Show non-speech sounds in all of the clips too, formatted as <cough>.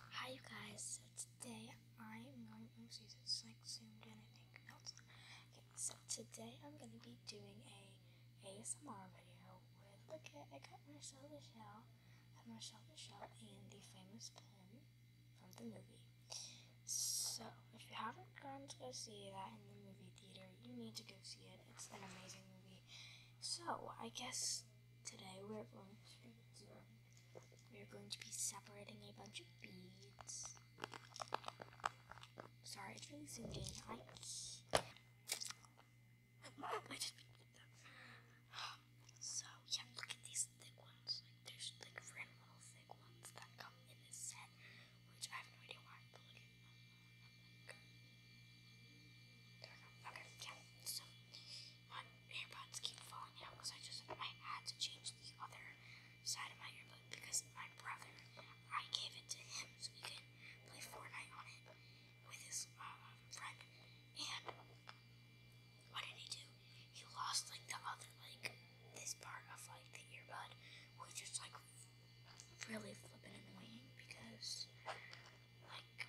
Hi you guys, so today I'm going oopsies, it's like zoomed in I think. so today I'm gonna be doing a ASMR video with look at I got Marcel the Shell and Marcel the Shell and the famous pen from the movie. So if you haven't gone to go see that in the movie theater, you need to go see it. It's an amazing movie. So I guess today we're going to we are going to be separating a bunch of beads. Sorry, it's really zoomed in. I just So yeah, look at these thick ones. Like there's like random little thick ones that come in this set, which I have no idea why, but look at them. there we go. Okay, yeah my earbuds keep falling out because I just I had to change the other side of my earbud because my brother I gave it to him so he could play Fortnite on it with his uh, friend. And what did he do? He lost like the other like this part of like the earbud, which is like really flipping annoying because like,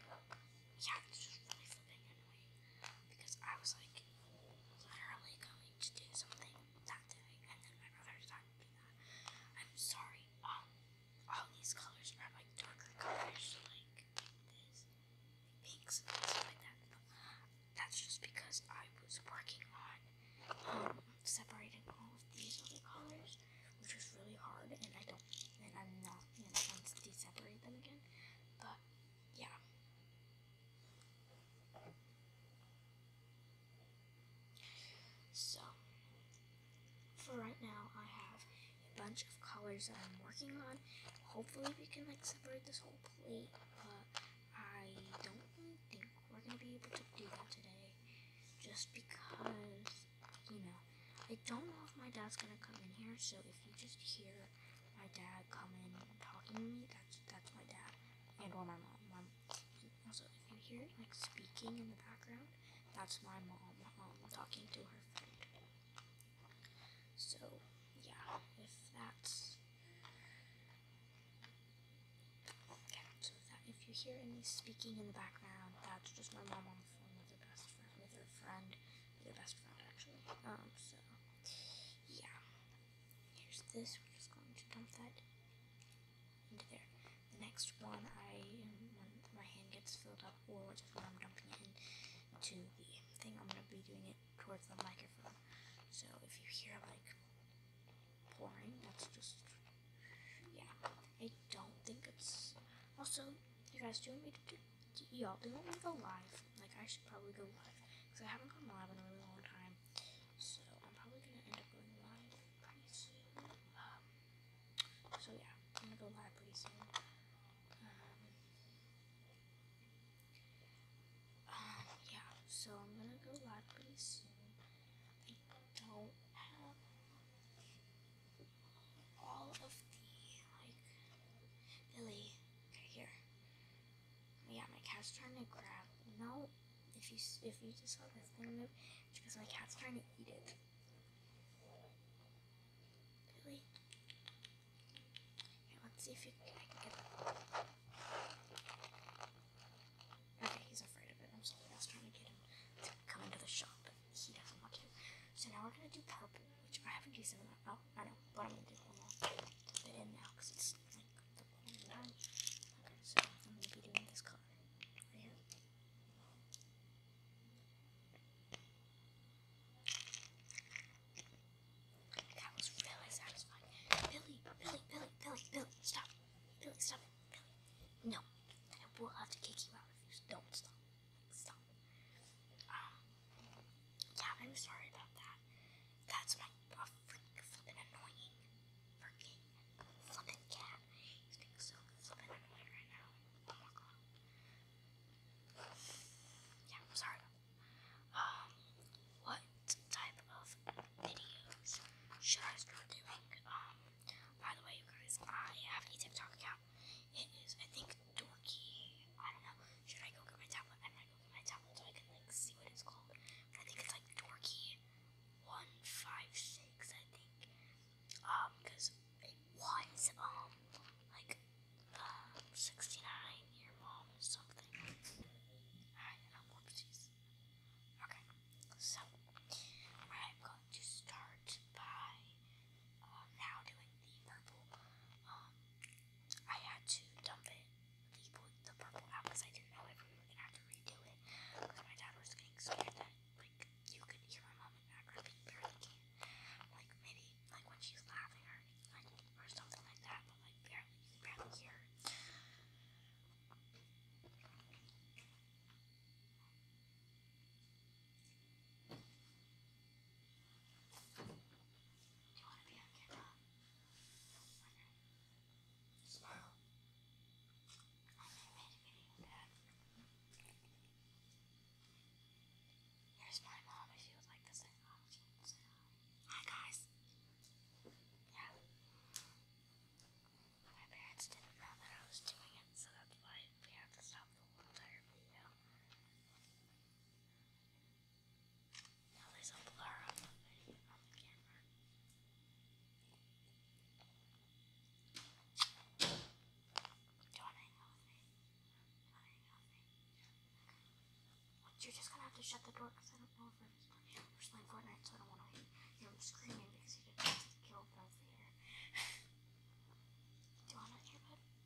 yeah, it's just really flipping annoying because I was like literally going to do something that day, and then my brother decided to that. I'm sorry. Um, all these colors are like darker colors, like this, pinks and stuff like that. that's just because I was working on um separating all of these other colors, which was really hard, and I don't, and I'm not, you to separate them again. But yeah. So, for right now, I have a bunch of colors that I'm working on. Hopefully, we can like separate this whole plate, but I don't think we're gonna be able to do that today, just because you know I don't know if my dad's gonna come in here, so if you just hear my dad come coming talking to me, that's that's my dad and when my mom. My, also, if you hear like speaking in the background, that's my mom um, talking to her friend. So yeah, if that's that if you hear any speaking in the background, that's just my mom on the phone with her best friend with her friend the best route actually. Um, so yeah. Here's this. We're just going to dump that into there. The next one, I when my hand gets filled up, or just when I'm dumping it into the thing, I'm gonna be doing it towards the microphone. So if you hear like pouring, that's just yeah. I don't think it's also. You guys, do you want me to do y'all, do want me to go live. Like, I should probably go live. Because I haven't gone live in a really long time. So, I'm probably going to end up going live pretty soon. Um, so, yeah, I'm going to go live pretty soon. Um, um, yeah, so I'm going to go live pretty soon. I don't have all of the like Billy okay here. Yeah, my cat's trying to grab. You if you if you just saw this thing move, because my cat's trying to eat it. Billy, here, let's see if you, I Okay, he's afraid of it. I'm sorry. I was trying to get him to come into the shop he doesn't want to. So now we're gonna do purple, which I haven't used in a Oh, I know, what I'm gonna do one more bit now because it's like the one i Okay, so I'm gonna be doing this color right That was really satisfying. Billy, Billy, Billy, Billy, Billy, stop. Billy, stop. Billy. No, I will have to kick you out if you don't stop stuff. Um, yeah, I'm sorry about that. That's my a freak flippin' annoying freaking flippin' cat. He's being so flippin' annoying right now. Oh yeah, sorry Um, what type of videos should I start doing? Um, by the way, you guys, I have a TikTok account it is. I think dorky. I don't know. Should I go get my tablet? I'm go get my tablet so I can like see what it's called. I think it's like dorky one five six. I think. Um, because it was um like sixty nine year mom or something. I don't know. Okay, so I'm going to start by now doing the purple. Um, I had to dump it, the, the purple apples. I didn't know if we were gonna have to redo it because my dad was getting scared that like you could hear my mom in the background, but you barely Like maybe like when she's laughing or like or something like that, but like barely barely hear you want to be on camera? Smile. I made a video of that. Here's my mom if you would like to say hi. Hi guys. Yeah. My parents didn't know that I was doing it, so that's why we have to stop the whole entire video there's a blur on the video on the camera. Don't hang on me. Don't hang on me. you're just gonna have to shut the door because I don't know if I'm just playing, I'm just playing Fortnite, so I don't want to hear him screaming because he didn't kill here. <laughs> Do you want an earbud?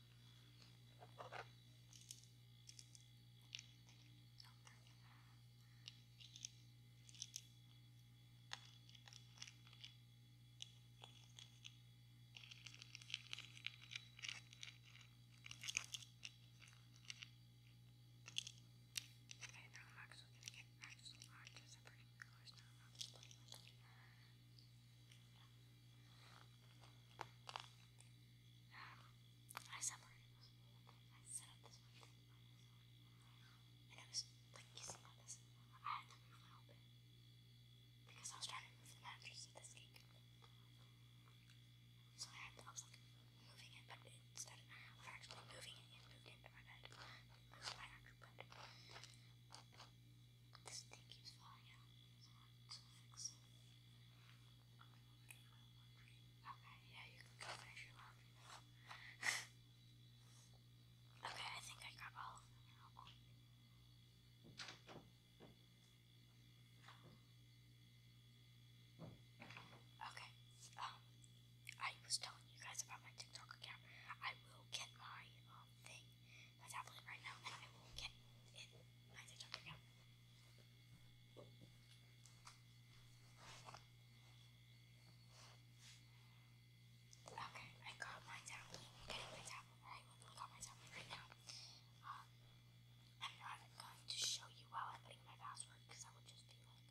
I know I'm actually gonna get actually odd just for colors now, not just like um, I separated I set up this one And I was like kissing on this. I had to move Because I was trying to move the mattress of this cake. So I was like moving it, but instead of actually moving it, it moved my bed. Moved my actual but this thing keeps falling out, so I fix it. Okay, yeah, you can go finish your laundry okay, I think I got all of them Okay, um, I was telling you guys about my TikTok account. I will get my um, thing my tablet right now and I will get in my TikTok right now. Okay, I got my tablet. am getting my tablet. I got my tablet right now. Um, I'm not going to show you while I'm putting my password because I would just be like,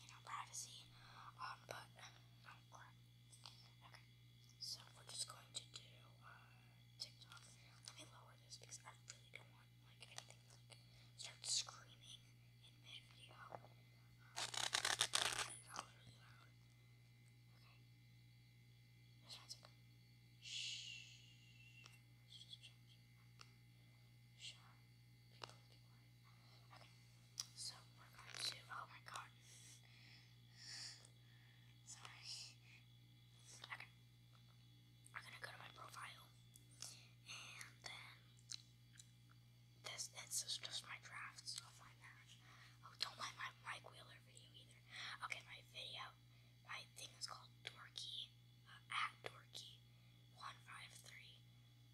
you know, privacy. Um, but, oh, Okay, so we're just going to do uh, TikTok. Let me lower this because I really don't want like anything like, start screaming in mid video. Um, that really loud. Okay, this one's like shh. Let's just change it. Okay, so we're going to. Oh my god. Sorry. Okay. I'm gonna go to my profile. And then this this just my drafts of my match. Oh, don't mind my Mike Wheeler video either. Okay, my video my thing is called Dorky uh, at Dorky one five three.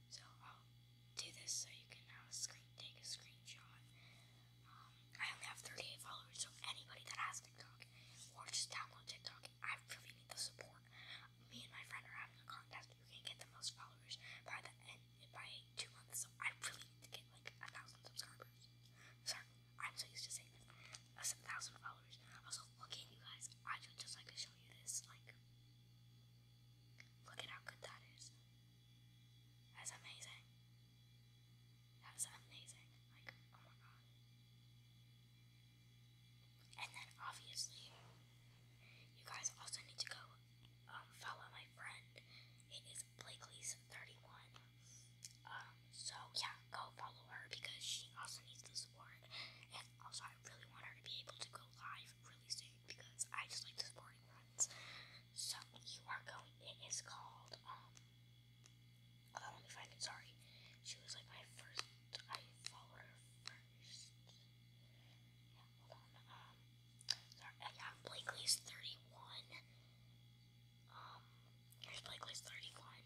So I'll do this so you can uh, now take a screenshot um, I only have 38 followers, so anybody that has TikTok or just download TikTok, I really need the support. Me and my friend are having a contest who can get the most followers by the end by two months. So I really need to get like a thousand subscribers. Sorry, I'm so used to saying A thousand followers. Also, look at you guys. I just like to show you this. Like, look at how good that is. That's amazing. That's amazing. Like, oh my god. And then obviously, you guys also need to go um, follow my friend. It is Blakely's31. Um, so yeah, go follow her because she also needs the support. And also, I really want her to be able to go live really soon because I just like supporting friends. So you are going. It is called. Um. Oh, let me find it. Sorry, she was like my first. I followed her first. Yeah, hold on. Um. Sorry. Uh, yeah, Blakely's thirty-one. Um. Here's Blakely's thirty-one.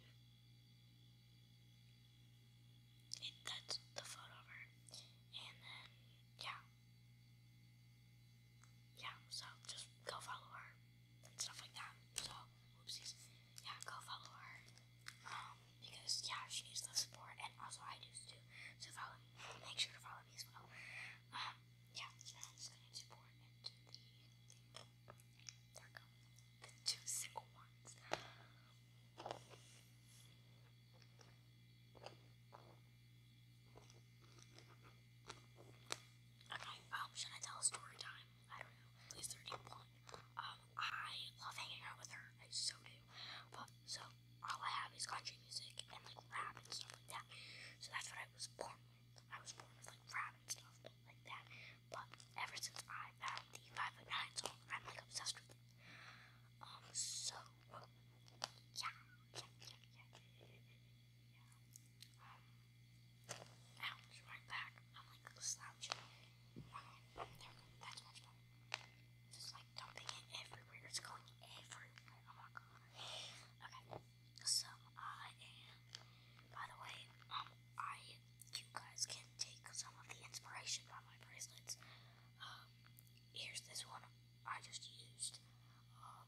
It, that's the photo of her. And then, yeah, yeah, so just go follow her and stuff like that. So, oopsies. Yeah, go follow her. Um, because, yeah, she needs the support, and also I do too. So, follow me. Make sure to follow me as well. Um, yeah, so I'm into The two single ones. Okay, um, should I tell a story time? I don't know. Please 31. Um, I love hanging out with her. I so do. But, so, all I have is country music and, like, rap and stuff like that. So that's what I was born with. I was born with, like, rap and stuff like that. But ever since I found the 5.9 song, I'm, like, obsessed with it. Um, so, yeah, yeah, yeah, yeah. Yeah. ouch, right back. I'm like slouching. there we go. That's much better. Just like dumping it everywhere. It's going everywhere. Oh my god. Okay. So I am. By the way, um, I you guys can take some of the inspiration from my bracelets. Um, here's this one I just used. Um,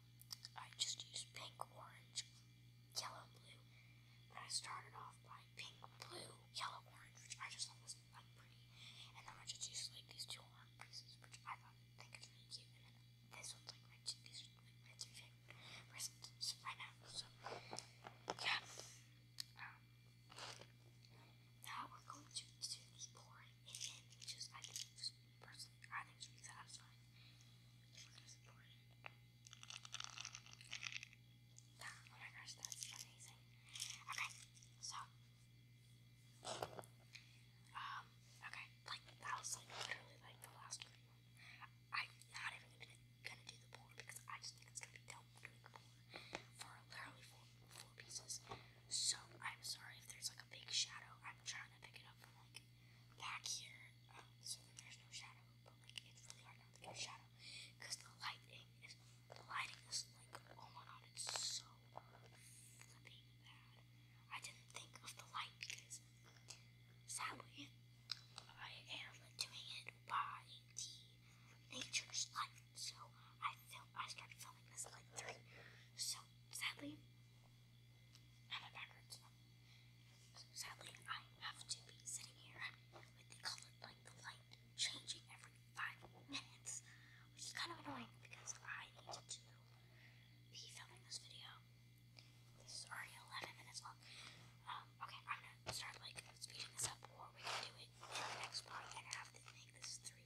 I just used pink, orange, yellow, blue. And I started off by pink, blue, yellow, orange, which I just thought was like pretty. And then I just used like these two arm pieces, which I thought I think it's really cute. And then this one's like my these are like my two favorite right now. So yeah. Um, now we're going to do the boring end, I just personally, I think it's really satisfying. It's really supported. Yeah, oh my gosh, that's amazing. Okay, so. Um, okay, like, that was like literally like the last one. I'm not even gonna, gonna do the board because I just think it's gonna be dope doing the for literally four, four pieces. So I'm sorry if there's like a big shadow. I'm trying to pick it up from like back here, um, so that there's no shadow. But like it's really hard not to get a shadow because the lighting is the lighting is like oh my god, it's so flipping bad. I didn't think of the light because sadly I am doing it by the nature's light. So I film I started filming this like three. So sadly Sadly, I have to be sitting here with the color, light, changing every five minutes, which is kind of annoying because I need to be filming this video. This is already 11 minutes long. Um, okay, I'm gonna start like speeding this up, or we can do it in the next part and have to make this three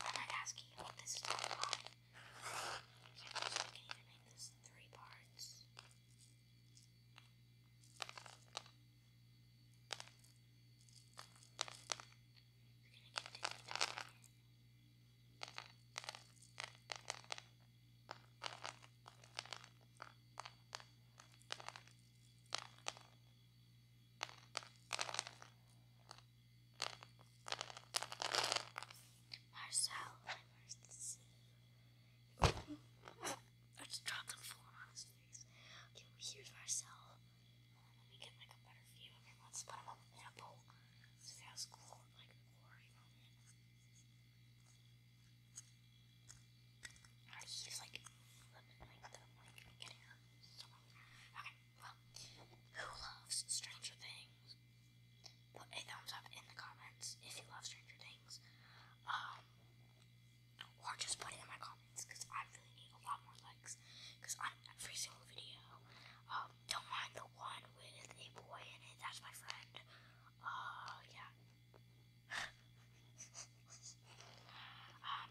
I'm not asking you what this is talking about. You can even make this three parts. You're gonna get Marcel, I just dropped them full on his face. Okay, here's Marcel. Let me get like a better view Let's put him up in a bowl. So he cool, like, glory moment. he's like, like, like, like getting up. Okay. Well, who loves Stranger Things? Put a thumbs up in the comments if you love Stranger Things. Um, or just put it in my comments because I really need a lot more likes because on every single video, um, don't mind the one with a boy in it, that's my friend. Uh, yeah. <laughs> um,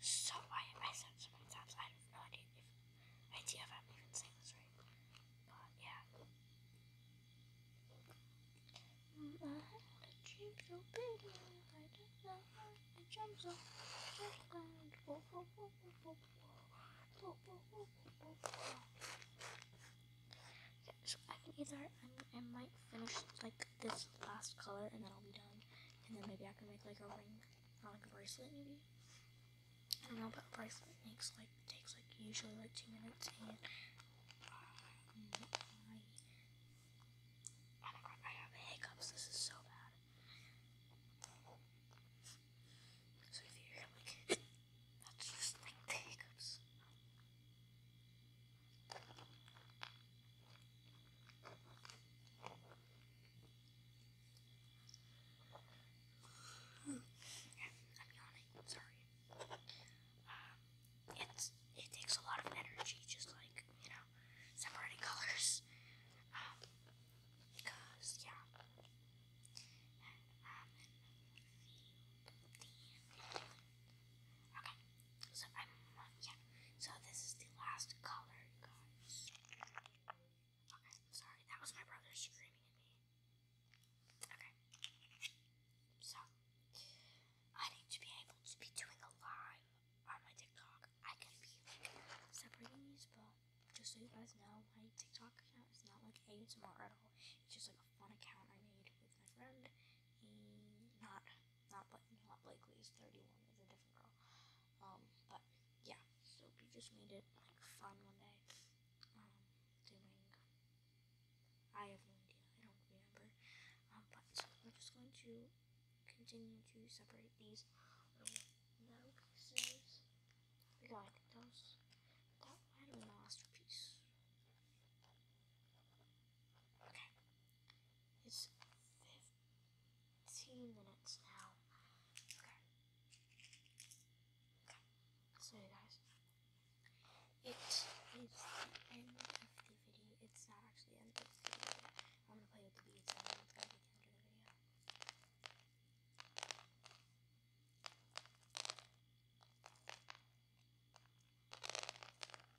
so I have said so many times I have no idea if idea if I'm even saying this right. But Yeah, mm, so I can either I, I might finish like this last color and then I'll be done. And then maybe I can make like a ring, or like a bracelet maybe. I don't know, but a bracelet makes like takes like usually like two minutes, and um, I, oh my hiccups. This is so bad. So if you hear like that's <coughs> just like the hiccups. Mm. I'm yawning. Sorry. Um, it's it takes a lot of energy, just like you know, separating <laughs> colors. Um, because yeah, um, okay. So I'm yeah. So this is the last color, guys. Okay, sorry, that was my brother screaming at me. Okay. So I need to be able to be doing a live on my TikTok. I can be separating these, but just so you guys know, my TikTok account is not like ASMR at all. It's just like a fun account I made with my friend. not not but not Blakely is 31 is a different girl. Um, but yeah, so we just made it like fun one day. Um, doing I have no idea, I don't remember. Um, but so I'm just going to continue to separate these little pieces. Yeah, that was that might Okay, it's fifth. 15 minutes now. Okay. Okay. So guys, it is end of the video. It's not actually the end of the video. I'm gonna play with the beads end of the video.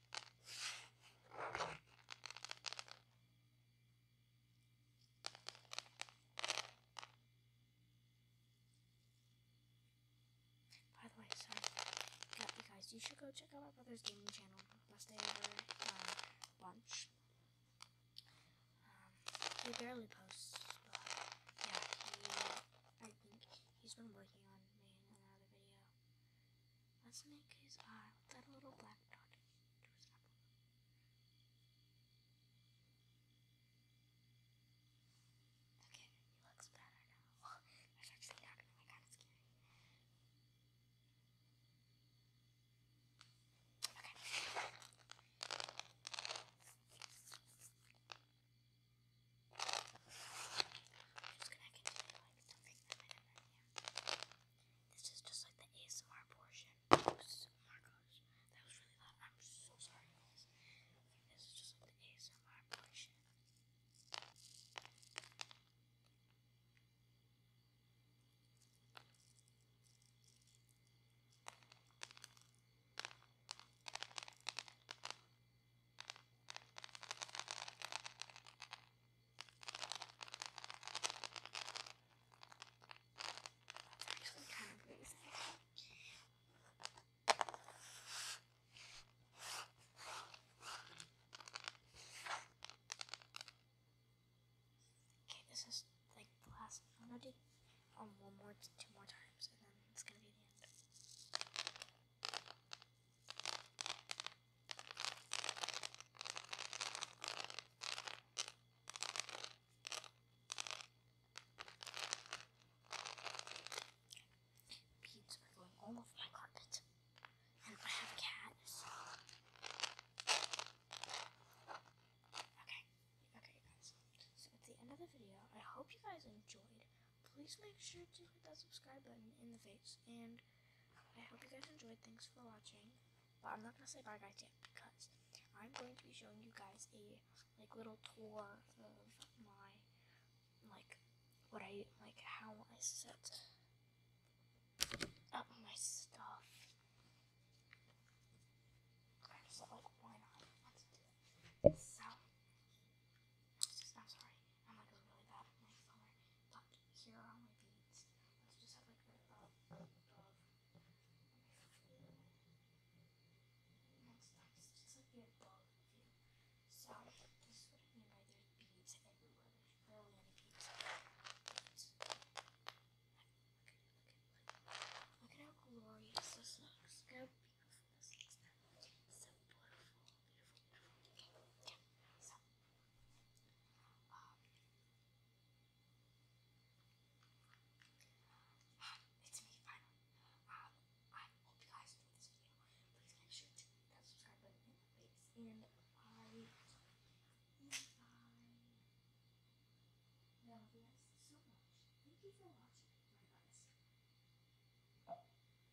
By the way, so yeah, you guys, you should go check out my brother's gaming channel. Last day over um, lunch. Um, he barely posts, yeah, he, I think he's been working on me another video. Let's make his eye with uh, that little black dot Okay, he looks better now. <laughs> That's actually not gonna be kind of scary. Okay just going This is just like the ASMR portion. Oh that was really loud. I'm so sorry, This is just like the ASMR portion actually kind Okay, this is like the last melody. Um, one more, two more times, and then it's gonna be the end. Beads are going all over my carpet. And I have a cat, Okay, okay, guys. So, at the end of the video, I hope you guys enjoyed please make sure to hit that subscribe button in the face. And I hope you guys enjoyed. Thanks for watching. But I'm not going to say bye guys yet because I'm going to be showing you guys a like little tour of my like what I like how I set up my stuff. So like why not? So I'm sorry. I'm like really bad at color. But here are my beads. Let's just have like a uh, That's nice. It's like you have both So this is what I beads everywhere. There's barely any beads. Look at how glorious this looks. Look beautiful it's me, final. Um, I hope you guys enjoyed this video. Please make sure to hit that subscribe button in and I love you guys so much. Thank you for watching. My guys.